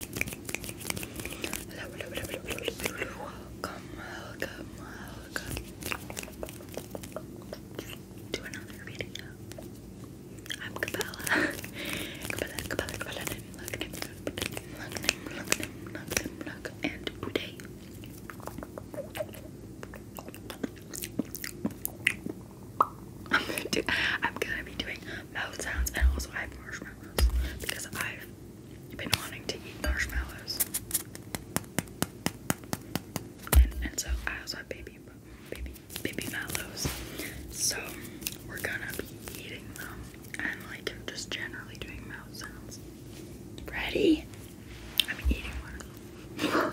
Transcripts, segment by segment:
Hello, hello, hello, hello, hello, hello, welcome, another video. I'm Capella. Capella, Capella, Capella, look at him, look at him, look at him, look at him, look look and today. I'm gonna, be doing mouth sounds and also I have marshmallows marshmallows because I've been wanting to eat marshmallows. And, so I also have baby, baby, baby mallows. So we're gonna be eating them and like just generally doing mouth sounds. Ready? I'm eating one.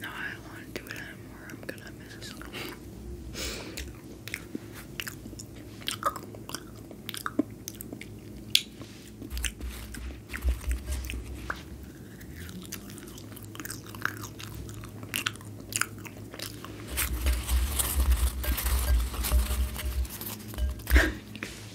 No, I don't want to do it anymore. I'm gonna miss.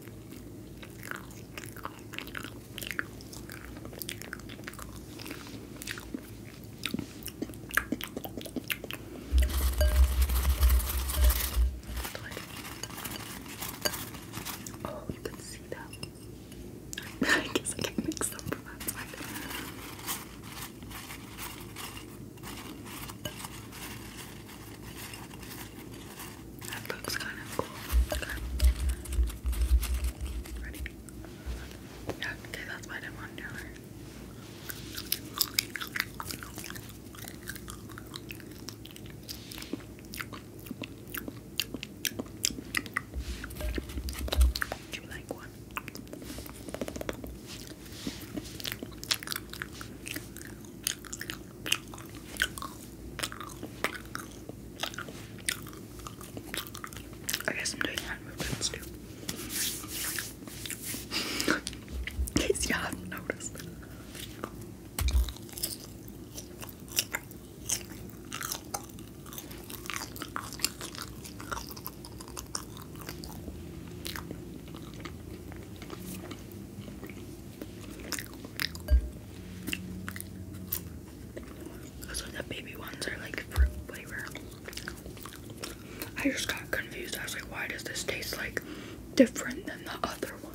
Oh, you can see that. I guess I can mix them from outside. That looks kind of cool. Ready? Yeah, okay, that's my one Do you like one? I guess I'm doing hand movements too. In case you haven't noticed. Cause like baby ones are like fruit I just got confused. I was like, why does this taste like different than the other one?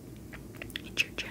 It's your chin.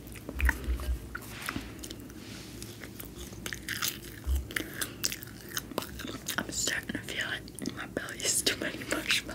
I'm starting to feel it my belly is too many marshmallow.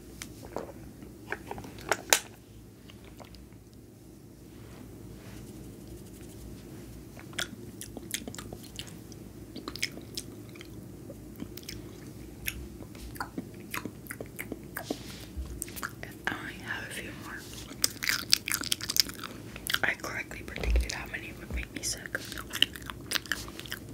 I only have a few more. I correctly predicted how many would make me sick.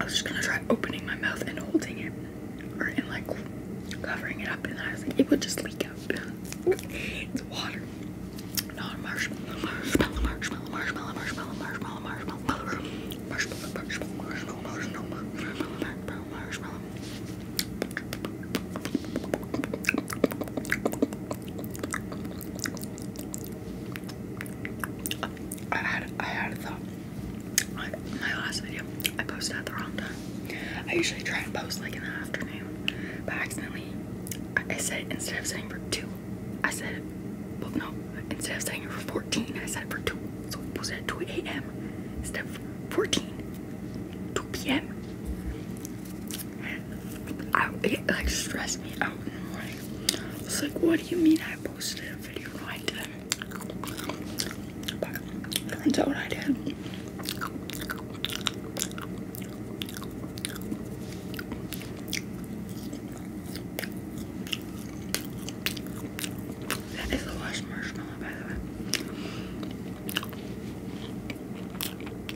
I was just gonna try opening my mouth and holding it, or and like covering it up, and I was like, it would just leak out. it's water, not marshmallow, marshmallow, marshmallow, marshmallow, marshmallow, marshmallow, marshmallow, marshmallow, marshmallow, marshmallow, marshmallow, marshmallow, marshmallow, marshmallow. I had I had a thought. My, last video, I posted at the wrong time. I usually try and post like in the afternoon, but accidentally I, said instead of saying for two, I said Well, no, instead of saying it for 14, I said for two. So I posted at 2 a.m. instead of 14, 2 p.m it like stressed me out in the morning. I was like, what do you mean I posted a video? No, I didn't. know what I did. That is the last marshmallow, by the way.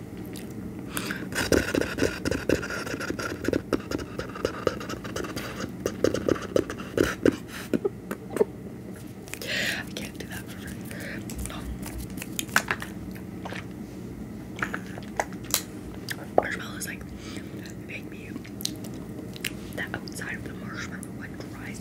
I can't do that for free. No. like make me the outside of the marshmallow like dries.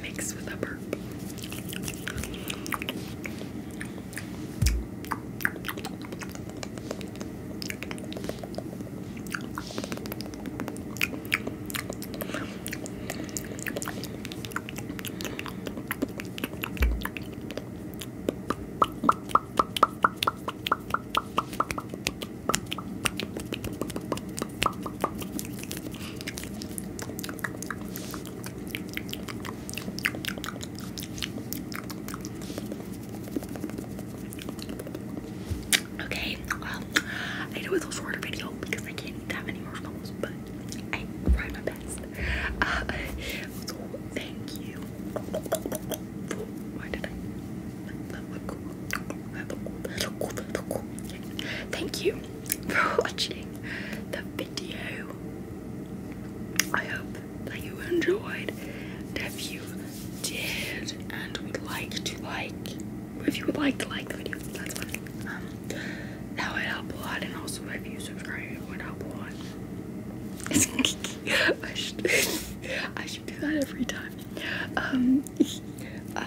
mixed with a burp. Okay, I know it's a shorter video because I can't eat that many marshmallows, but I tried my best. Uh, so, thank you. Why did I? Thank you for watching the video. I hope that you enjoyed. And if you did and would like to like, if you would like to like the video, that's fine. Um, that would help a lot. And also, if you subscribe, it would help a lot. I should, I should do that every time. Um, uh,